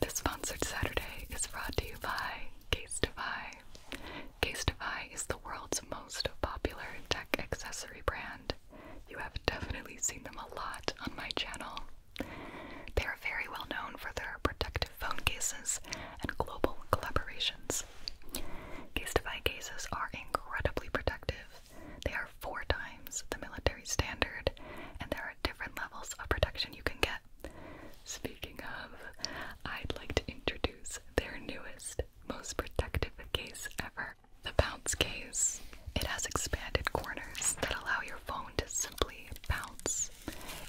This sponsored Saturday is brought to you by Casetify. Casetify is the world's most popular tech accessory brand. You have definitely seen them a lot on my channel. They are very well known for their protective phone cases and global collaborations. Casetify cases are incredibly protective. They are four times the military standard, and there different levels of protection you can get. Speaking of, I'd like to introduce their newest, most protective case ever the bounce case. It has expanded corners that allow your phone to simply bounce.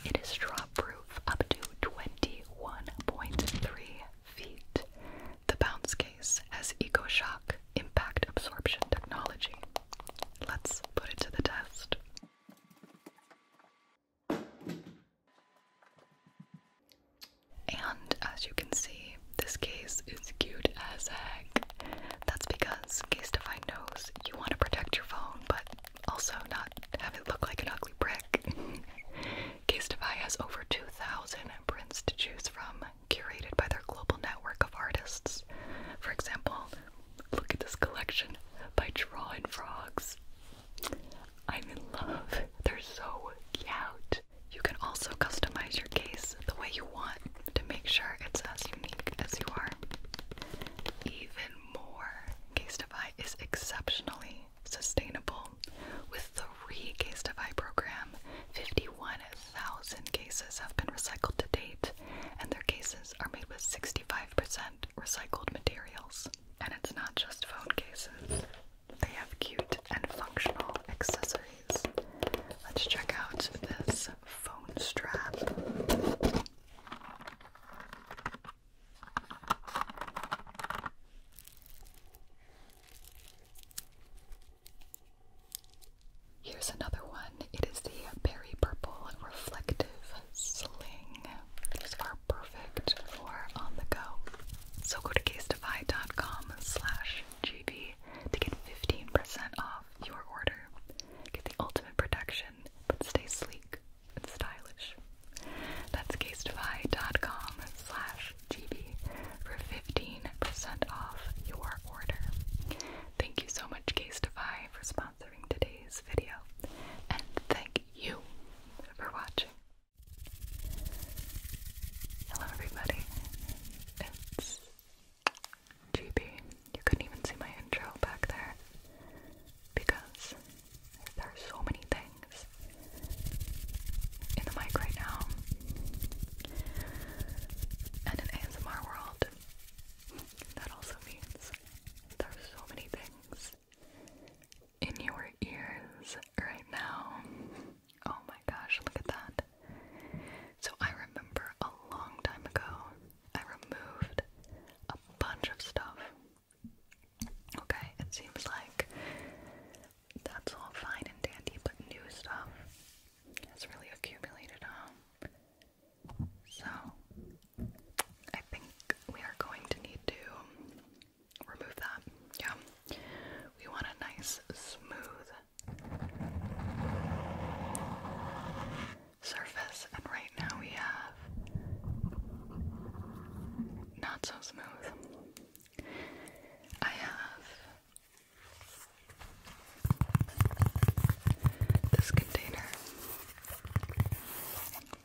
It is drop proof up to 21.3 feet. The bounce case has EcoShock impact absorption technology. Let's put it to the test. And as you can see, this case is cute as heck. That's because Case Define knows you want to protect your phone, but also not have it look like an ugly brick. Case Define has over 2,000 prints to choose from, curated by their global network of artists. For example, Look at this collection by Drawing Frogs. I'm in love. They're so cute. You can also customize your case the way you want to make sure it's as unique as you are. Even more, Casetify is exceptionally sustainable. With the re Casetify program, 51,000 cases have been recycled to date, and their cases are made with 65% recycled materials. And it's not just phone cases, they have cute and functional accessories. Let's check out this phone strap. Here's another one. It is the berry purple reflective sling. These are perfect for on the go. So go to casedefy.com slash GB to get 15% off your order. Get the ultimate protection, but stay sleek and stylish. That's casedefy.com slash GB for 15% off your order. Thank you so much, Casedefy, for sponsoring sponsoring today's video, and thank you for watching. Hello, everybody. It's GB. You couldn't even see my intro back there because there are so many things in the mic right now and in ASMR world. That also means there's so many things in your ears right now. Oh my gosh, look at that. So I remember a long time ago, I removed a bunch of stuff. Okay, it seems like that's all fine and dandy, but new stuff has really accumulated, so, I think we are going to need to remove that. Yeah. We want a nice, smooth surface, and right now we have not so smooth. I have this container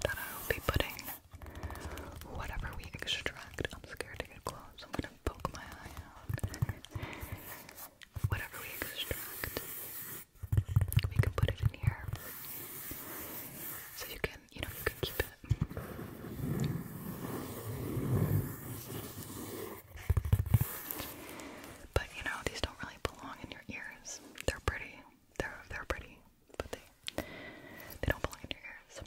that I will be putting whatever we extract. I'm scared to get close. I'm gonna poke my eye out. whatever we extract, we can put it in here. So you can, you know, keep it. But you know, these don't really really belong in your ears. They're pretty. They're they're pretty, but they they don't belong in your ears.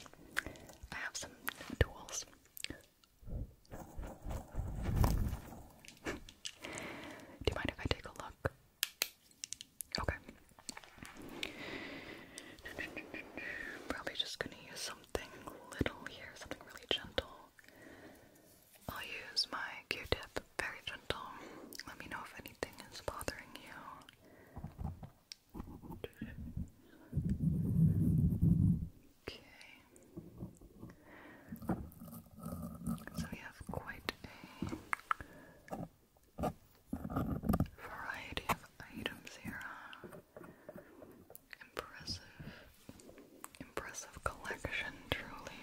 I have some tools. Do you mind if I take a look? Okay. Probably just gonna use something little here, something really gentle. I'll use my Q-tip, very gentle. Let me know if anything is bothering you. Okay. So we have quite a variety of items here. Impressive, impressive collection, truly.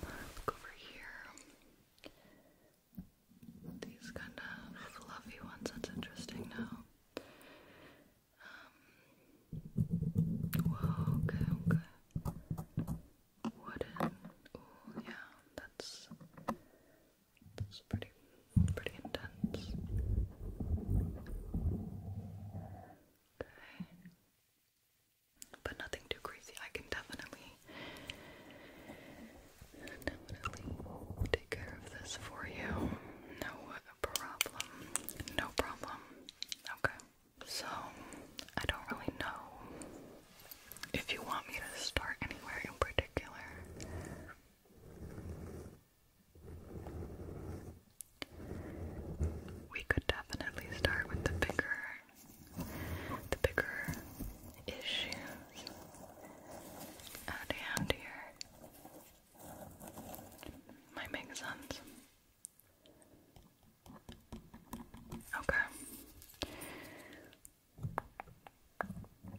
Look over here these kind of fluffy ones. That's interesting now. Um, okay, okay. Wooden. Ooh, yeah, that's that's pretty pretty intense. Okay but nothing too crazy. I can definitely, definitely take care of this for you. No problem. No problem. Okay. So, I don't really know if you want me to start anywhere in particular. We could definitely start with the bigger the bigger issues at hand here. Might make sense. Okay.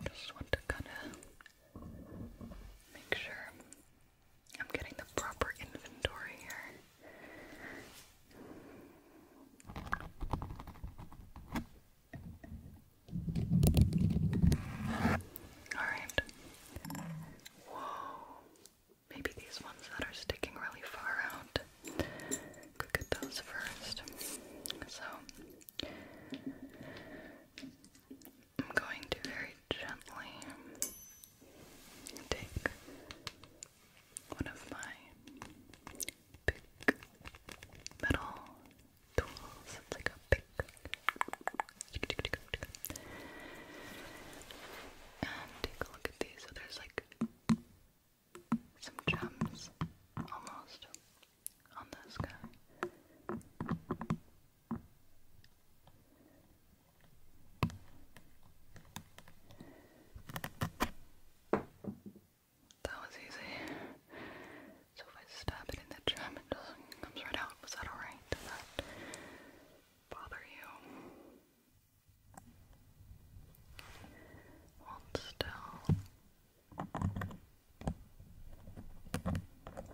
Just want to kind of make sure I'm getting the proper inventory here. Alright. Whoa. Maybe these ones that are sticking really far out. Could get those first. So I'm going to very gently take one of my big metal tools. It's like a big. And take a look at these. So there's like some gems almost on this guy. That was easy. So if I stab it in the gem, it comes right out. Was that alright? Did that bother you? still.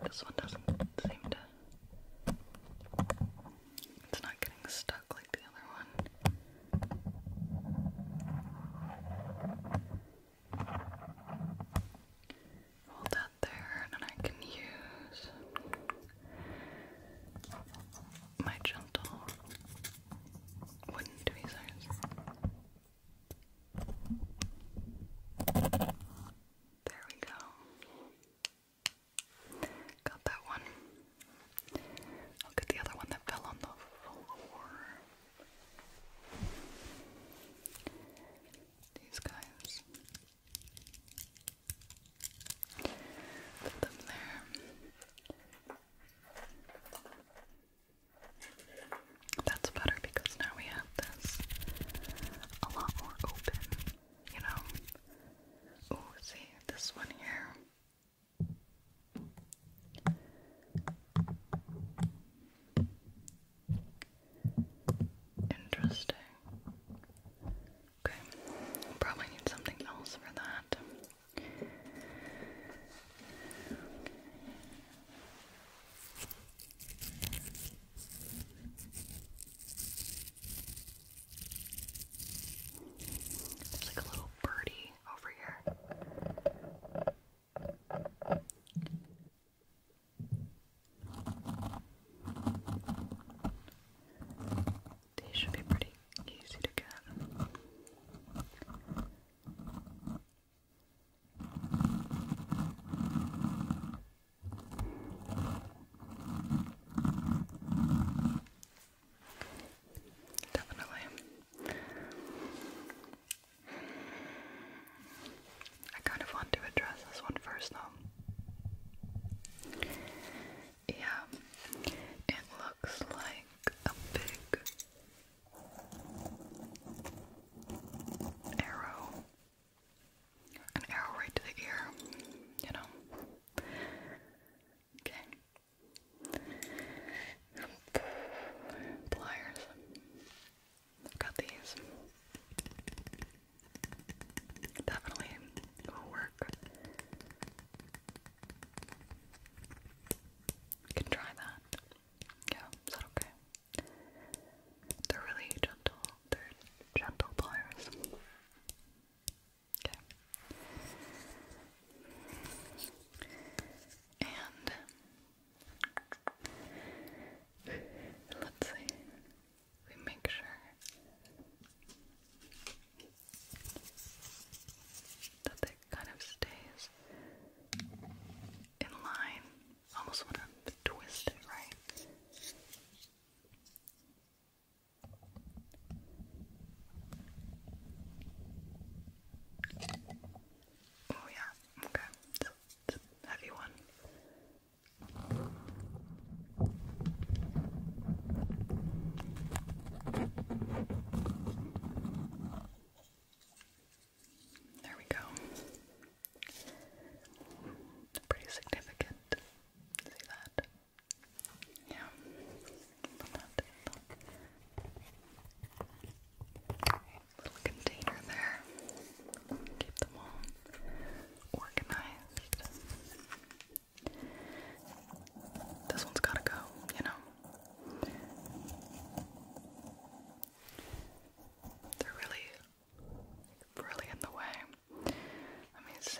This one doesn't seem to. It's not getting stuck like the other one. Hold that there, and I can use my gentle wooden tweezers. There we go. Got that one. Look at the other one that fell on the floor. These guys. Put them there. That's better because now we have this a lot more open, you know? Oh, see, this one here Interesting. Okay, probably need something else for that. There's like a little birdie over here. These should be pretty easy to get. Definitely. I kind of want to address this one first, though. Yeah, it looks like a big arrow. An arrow right to the ear, you know? Okay. Pliers. I've got these. Definitely will work. You can try that. Yeah, is that okay? They're really gentle. They're gentle pliers. Okay. And let's see. We make sure that it kind of stays in line. Almost want to right. Oh yeah, okay. It's, it's a heavy one. There we go. Pretty significant. See that? Yeah. Little container there. Keep them all organized. This one's gotta go, you know. They're really, really in the way. Let me see.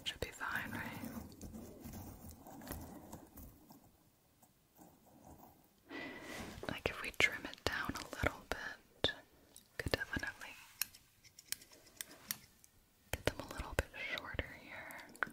It should be fine, right? Like if we trim it down a little bit, could definitely get them a little bit shorter here.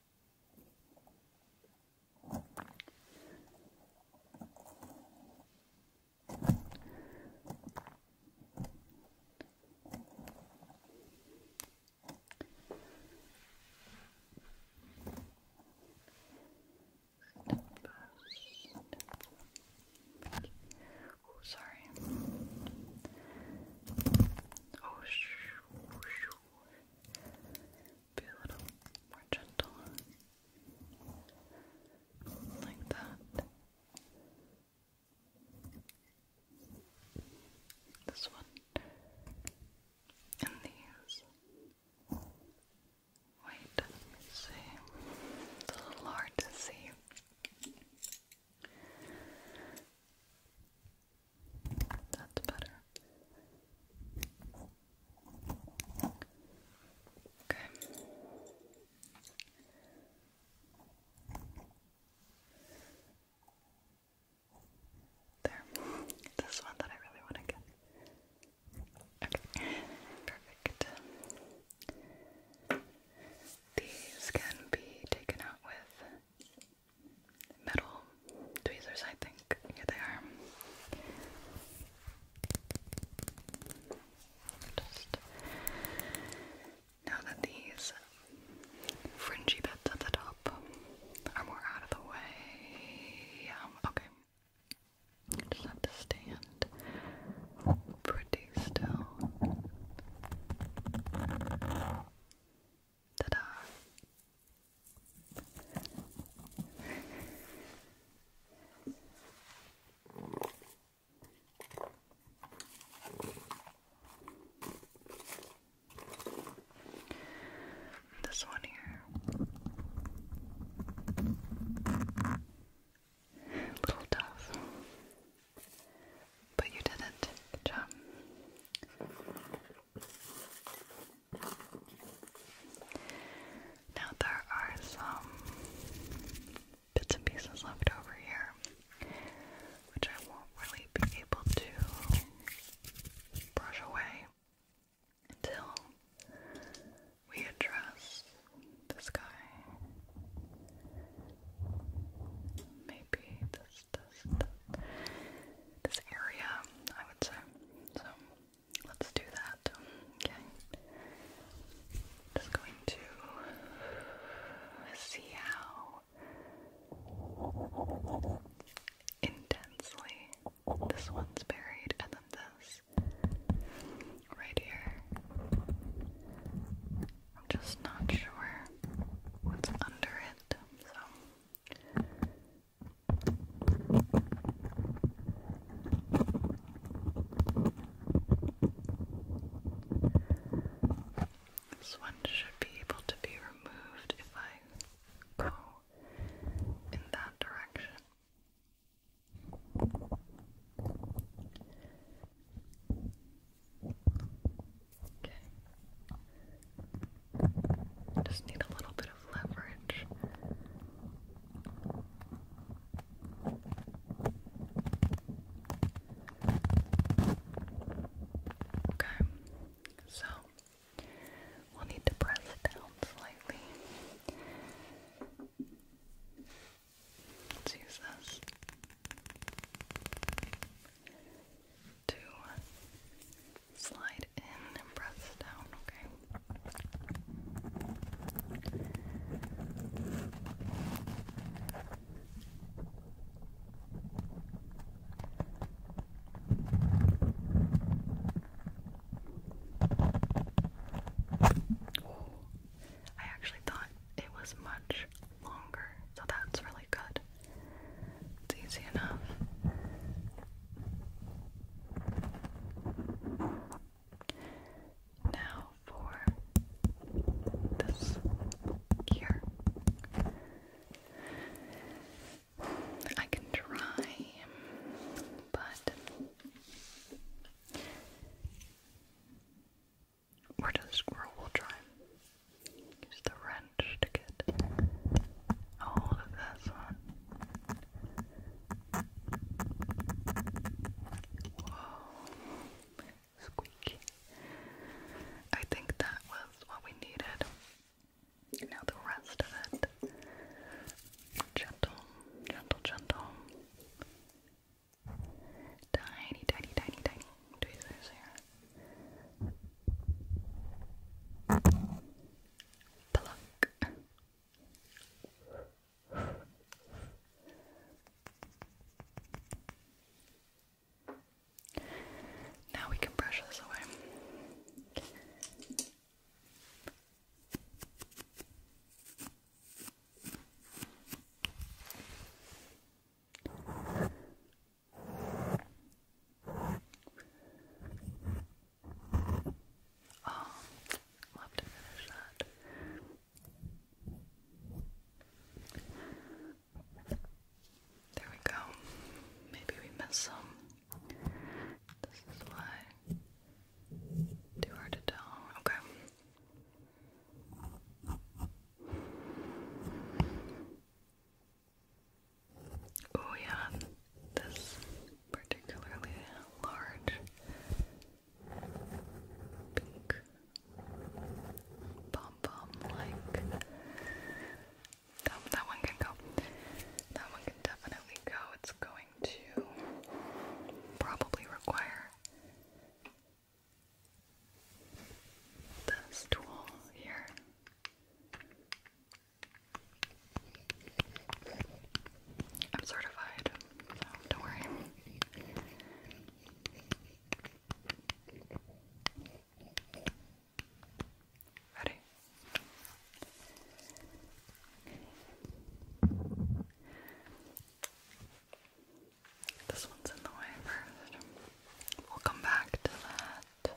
Oh, sorry. Oh, shoo, shoo be a little more gentle. Like that. This one. And these. Wait, see. It's a little hard to see. That's better. Okay. There. This one that I really want to get. Okay. Perfect. These can be taken out with metal tweezers, I think. Here they are. now that these fringy bits at the top are more out of the way, um, okay. Just have to stand pretty still. Ta-da! This one here. A little tough. But you did it. Good job. Now there are some bits and pieces left over here, which I won't really be able to brush away until we address this guy. Maybe this, this, this area. So let's do that. Okay. Just going to see how intensely this one's buried and then this right here. I'm just not sure what's under it, so this one should be able to be removed if I go in that direction. Okay. Just need a little bit of leverage. Okay, so we'll need to press it down slightly. Let's use this to Slide in and press down, okay? I actually thought it was much longer, so that's really good. It's easy enough. Now for this here. I can try, but we're just, try. Use the wrench to get a one. Whoa. Squeaky. I think that was what we needed. Now the rest of it. Gentle, gentle, gentle. Tiny, tiny, tiny, tiny tweezers here. Pluck. Now we can brush this away. Oh, love to finish that. There we go. Maybe we missed some. This is why. Too hard to tell. Okay. Oh, yeah, this particularly large pink pom pom like that, one can go. That one can definitely go. It's going to probably require this tool here. I'm certified, so don't worry. Ready? This one's in the way first. We'll come back to that.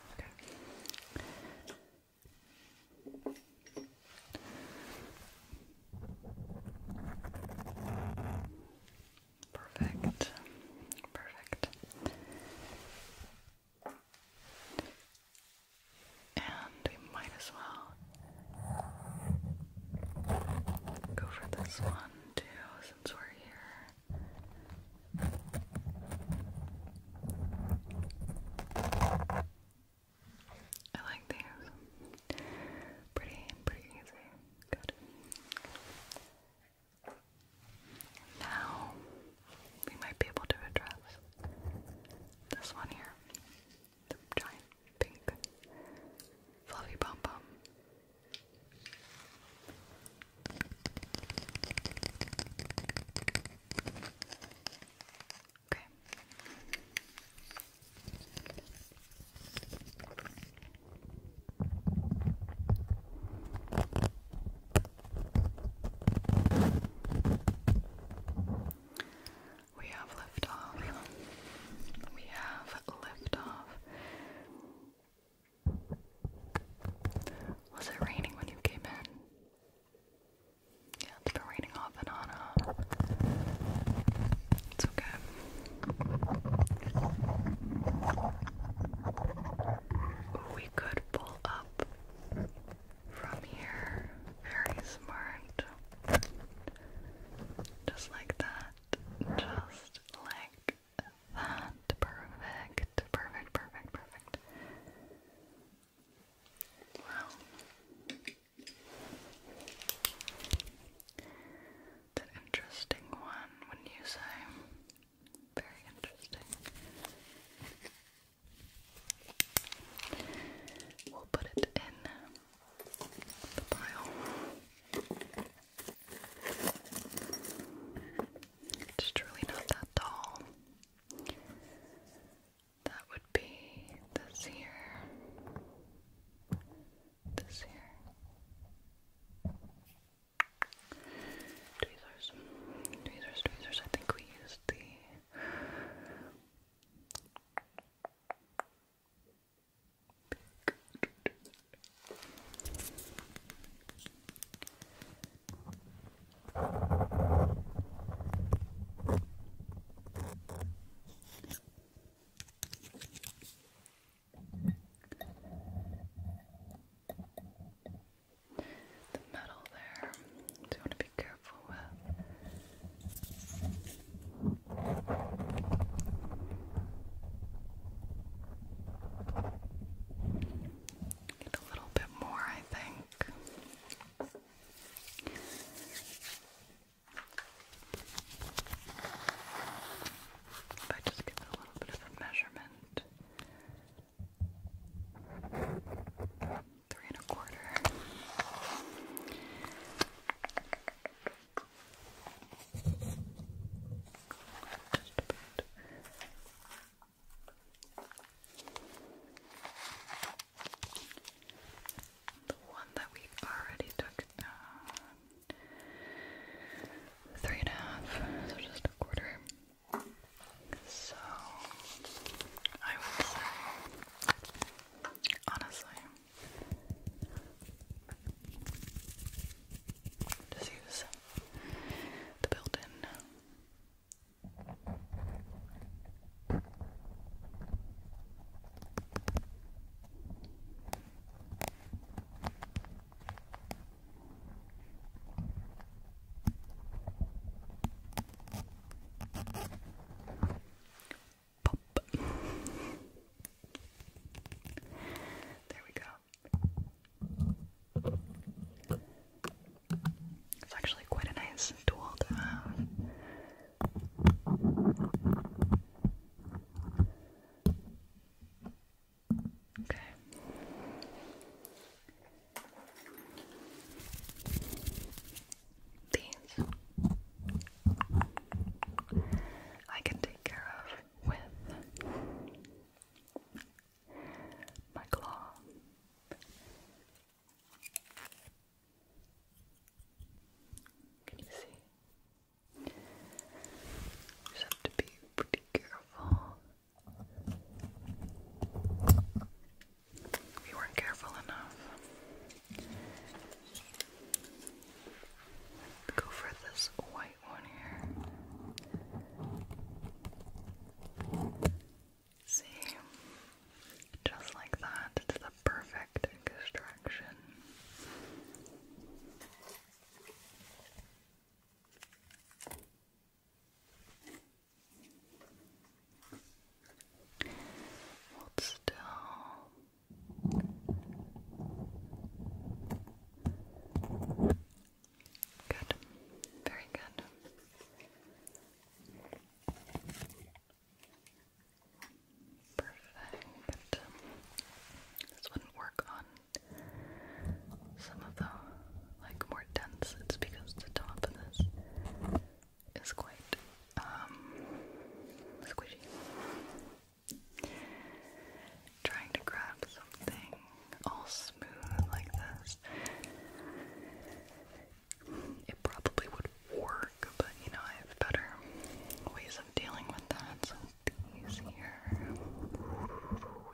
Perfect. Perfect. And we might as well go for this one too, since we're here. I like these. Pretty, pretty easy. Good. Now we might be able to address this one here. The giant pink fluffy pom pom. Okay. We have left We have left Was it raining when you came in? Yeah, it's been raining off and on. Uh, it's okay. We could pull up from here. Very smart. Just like that. Just like that. Perfect. Perfect, perfect, perfect. Wow. It's an interesting one, wouldn't you say? Very interesting. We'll put it in the pile. It's truly not that tall. That would be this here, this here. Tweezers, tweezers, tweezers. I think we used the. Pink. The metal there, you want to be careful with. Get a little bit more, I think. If just give a little bit of a measurement. Three and a quarter. Just a the one that we already took Three and a half, so just a quarter. So, I would say, honestly, just use the built in Pop. there we go. It's actually quite a nice tool to Okay. These I can take care of with my claw. Can you see? Just have to be pretty careful. We weren't careful enough. Go for this white one here. See? Just like that, it's the perfect extraction. still. Good. Very good. Perfect. This wouldn't work on some of the like more dense. It's because the top of this is quite um, squishy. Trying to grab something all smooth like this it probably would work, but you know, I have better ways of dealing with that. So these we have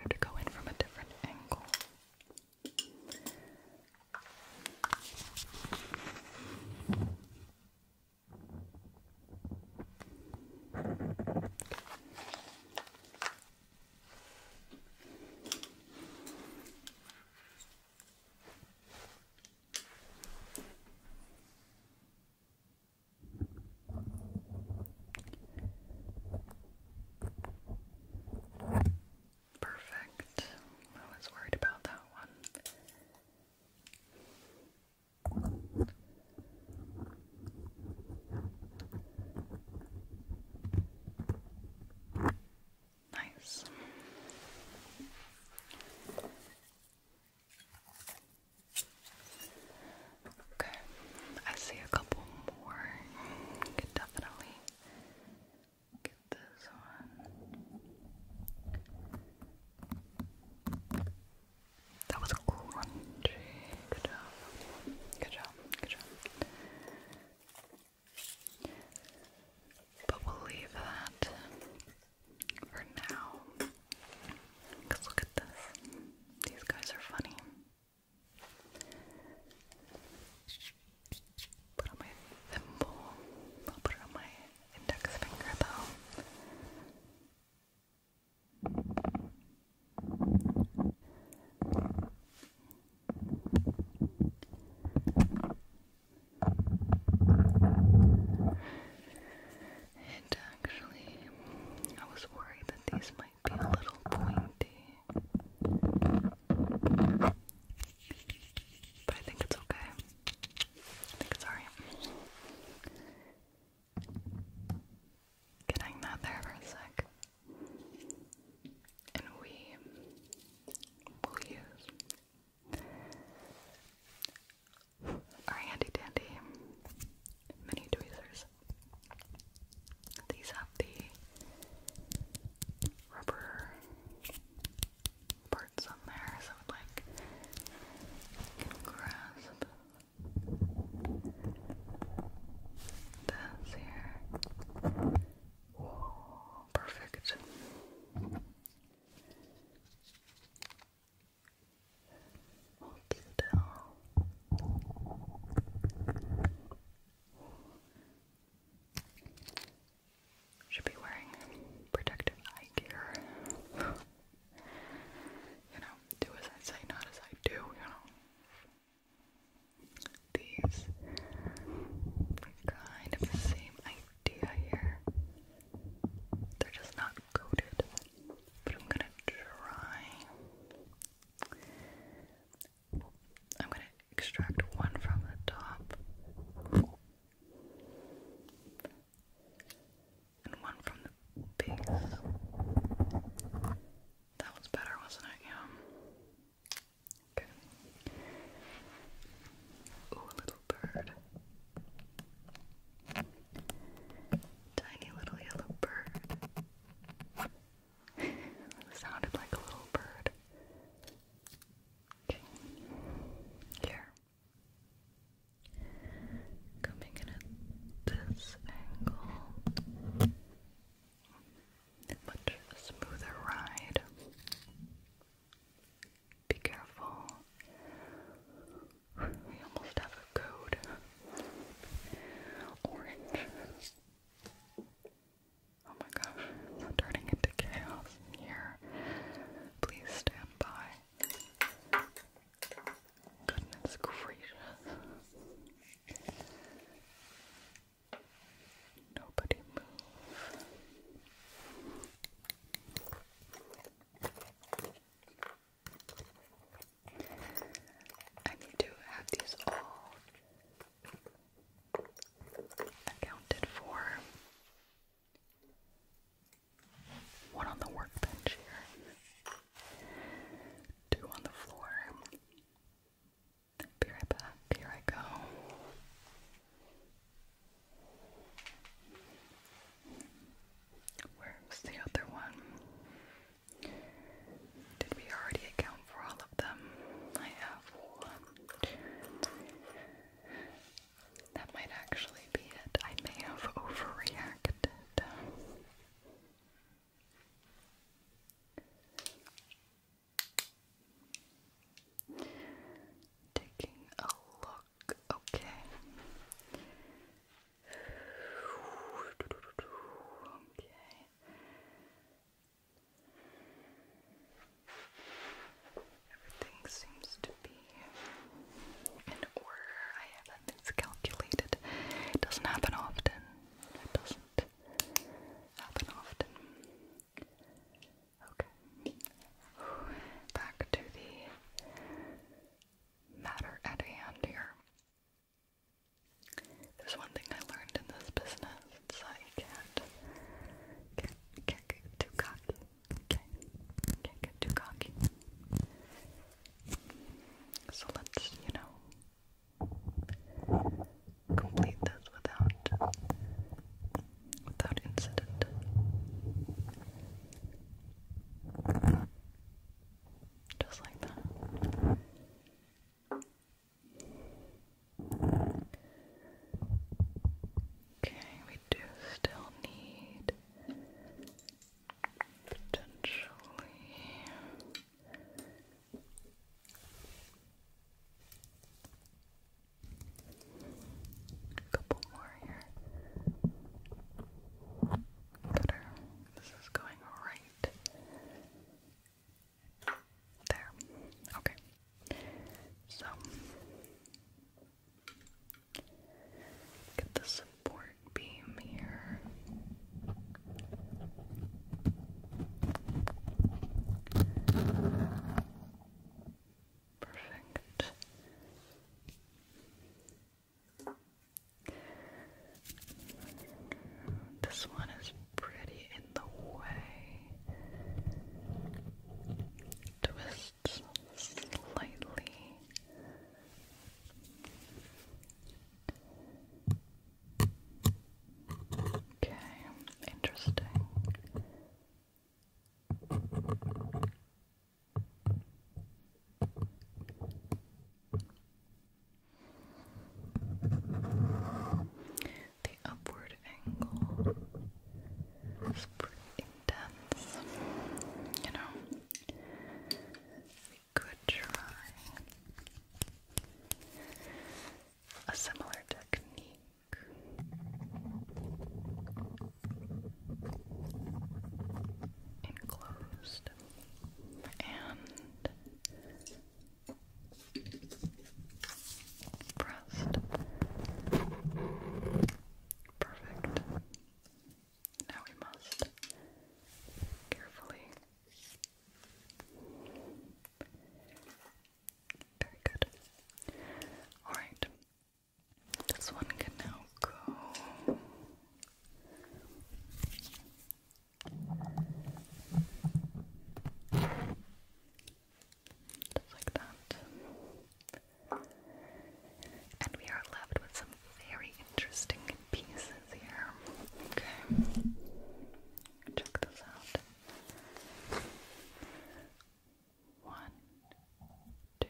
to go in from a different angle. Perfect. I was worried about that one. Nice. Okay, I see a couple more. You definitely get this one. That was crunchy. Good job. Good job. Good job. But we'll leave that for now. Because look at this. These guys are funny. Put on my thimble. I'll put it on my index finger though. It actually, I was worried that these might be a little pointy. But I think it's okay. I think it's alright. Getting that there for a sec and we will use our handy dandy mini tweezers. These have the rubber parts on there, so it like can grasp this here perfect. Should be wearing protective eye you know, do as I say, not as I do, you know these kind of the same idea here. They're just not coated, but I'm gonna try. I'm gonna extract one from the top. And one from the base. That was better, wasn't it? Yeah. Okay. Ooh, little bird. Tiny little yellow bird. it sounded like a little bird. Okay. Here. Coming in at this angle much smoother ride. Be careful. We almost have a code. Orange. Oh my gosh, it's turning into chaos here. Please stand by. Goodness gracious. Nobody move. I need to have these all accounted for. One on the workbench here, two on the floor, be right back. Here I go. Where's the other one? Did we already account for all of them? I have one. That might actually be it. I may have overreacted. Taking a look, okay. Okay. Everything seems to be in order. I have things calculated. It doesn't happen often. It doesn't happen often. Okay. Back to the matter at hand here. There's one thing I learned in this business, it's that you can't, can get too cocky. can get too cocky. So let's, you know, complete this without without incident. Just like that. Okay, we do still need potentially a couple more here. Better. This is going right. There. Okay. So get the support beam here. Perfect. This one is pretty in the way. Twists slightly. Okay, interesting. The upward angle is pretty intense, you know. We could try a similar technique enclosed and pressed. Perfect. Now we must carefully very good. Alright. This one can now go. Just like that. And we are left with some very interesting pieces here. Okay. Check this out. One, two,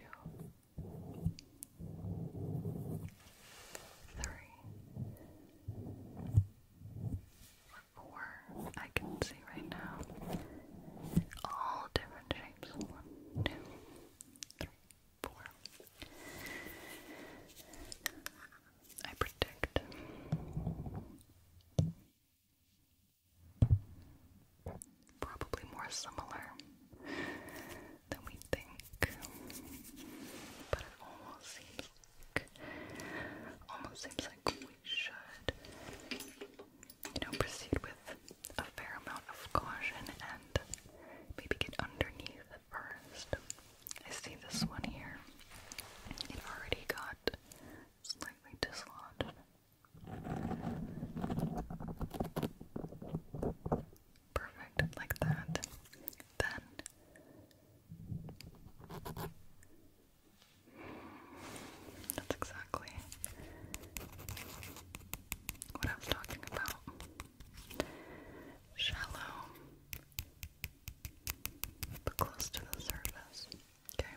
three, four. I can see right now all different shapes. One, two, three, four. I predict Probably more similar than we think, but it almost seems like, almost seems like we should, you know, proceed with a fair amount of caution and maybe get underneath first. I see this one here. It already got slightly dislodged. Perfect, like that. Then that's exactly what I was talking about. Shallow, but close to the surface. Okay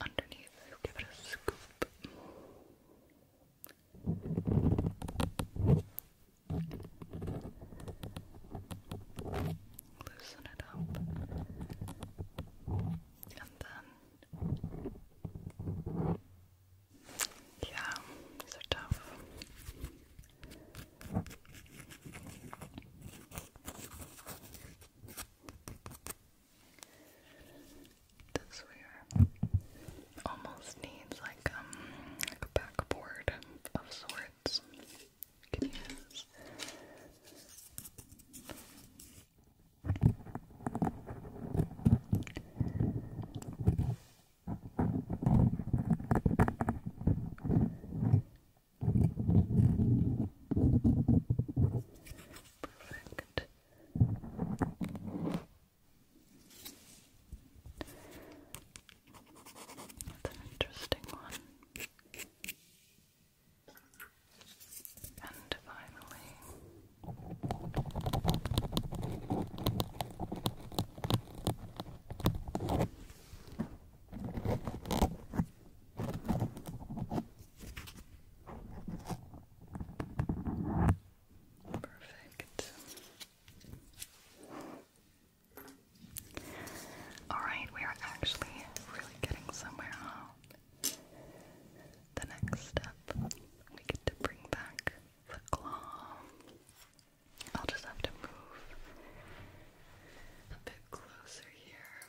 underneath. i give it a scoop. Loosen it up, and then yeah, these are this wear almost needs like um like a backboard of sorts. You can use. Perfect. That's an interesting one. And finally, Perfect. Alright, we are actually really getting somewhere, huh? The next step, we get to bring back the claw. I'll just have to move a bit closer here.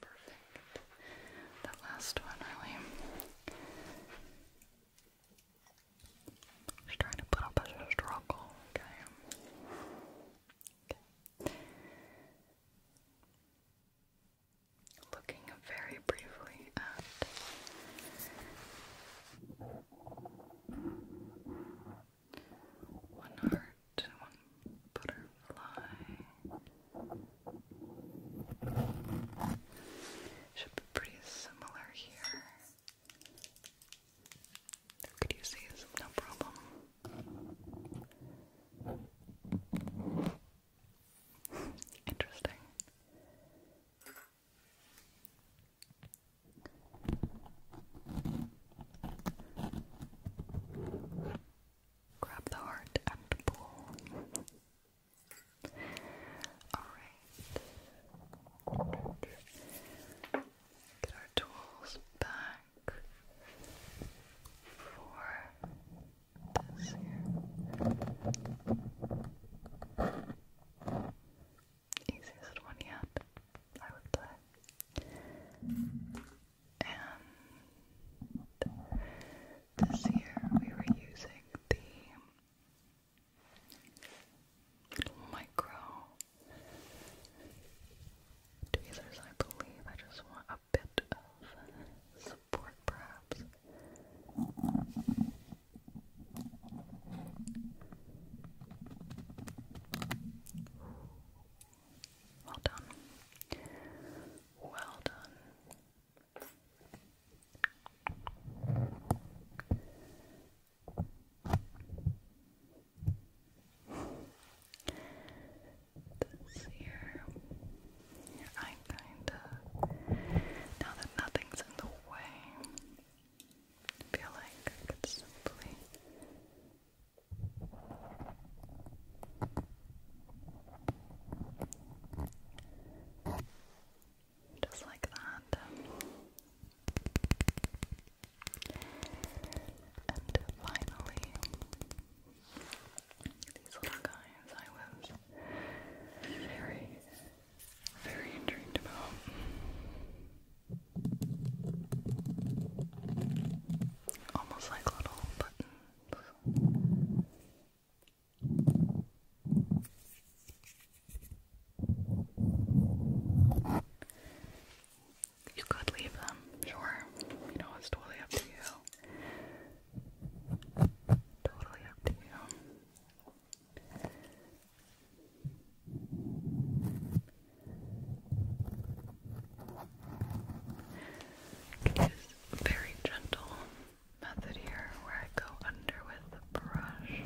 Perfect. That last one really. Just trying to put up a struggle, Okay. Looking very briefly at one heart, one butterfly, should be pretty similar here. Could you no problem? Interesting. Grab the heart and pull. Alright. Get our tools back for this here. Easiest one yet, I would say this year we were using the micro tweezers, I believe. I just want a bit of support, perhaps. Well done. Well done. This here, i kind of now that nothing's in the way. feel like I could simply just like that. And finally, these little guys I was very, very intrigued about. Almost like little buttons. You could leave them, sure. You know, it's totally up to you. Totally up to you. It is very gentle method here where I go under with the brush.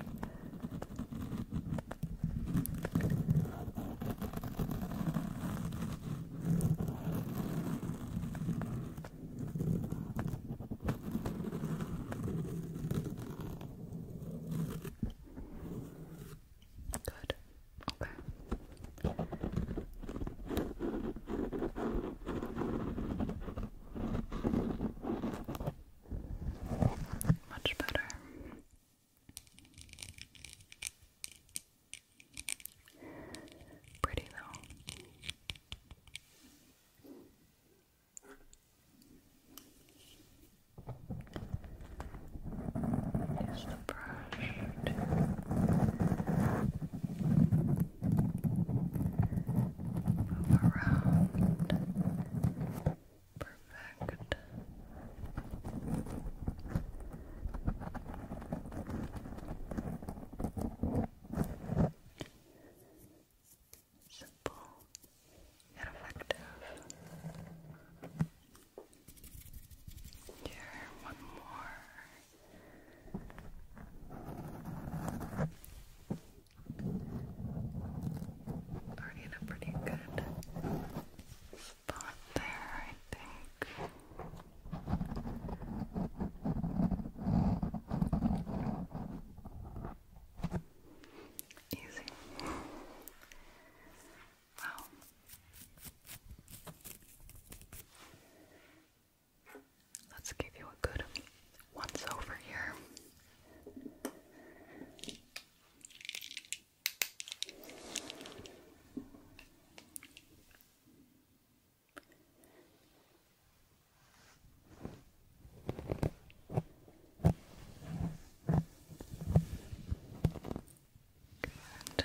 Good. Okay. Much better. Pretty though. Use the brush Move around. Perfect. Simple and effective. Here, one more. Already in a pretty good spot there, I think. Easy. Wow. Let's give you a good once over here. Good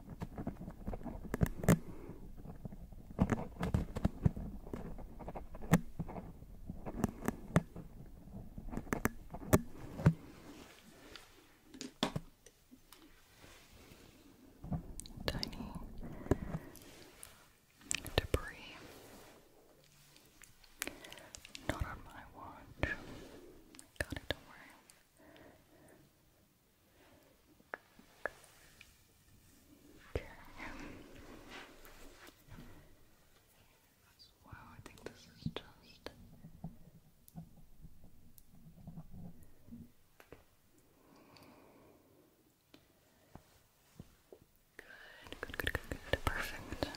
Tiny debris. Not on my watch. Got it, don't worry. Okay. As I think this is just. Good, good, good, good, good. Perfect. That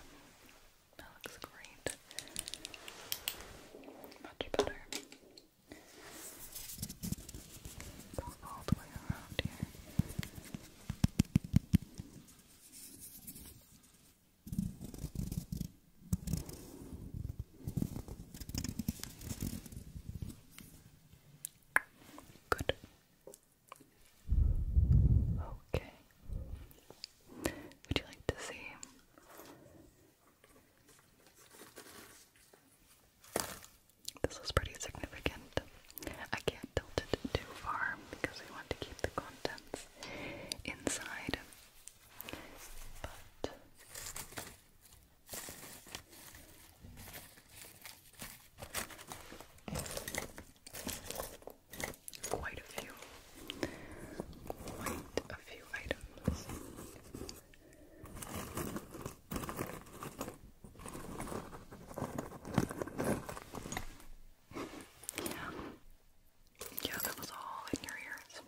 looks great. Much better. Go all the way around here. Good. Okay. Would you like to see this is pretty significant. I can't tilt it too far because we want to keep the contents inside. But Quite a few, quite a few items. Yeah. Yeah, that was all in your ears.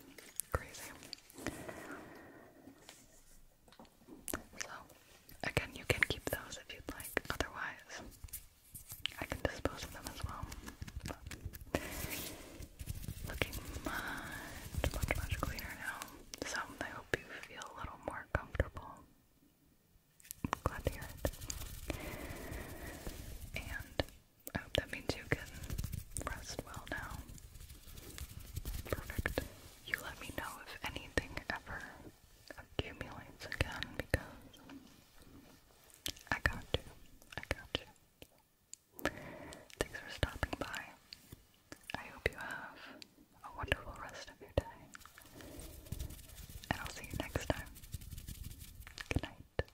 Crazy. So, again, you can keep those if you'd like. Otherwise, I can dispose of them as well looking much, much, much cleaner now. So I hope you feel a little more comfortable. glad to hear it. And I hope that means you can rest well now. Perfect. You let me know if anything ever accumulates again because I got you. I got you. Thanks for stopping by. I hope you have a wonderful rest of your day. And I'll see you next time. Good night.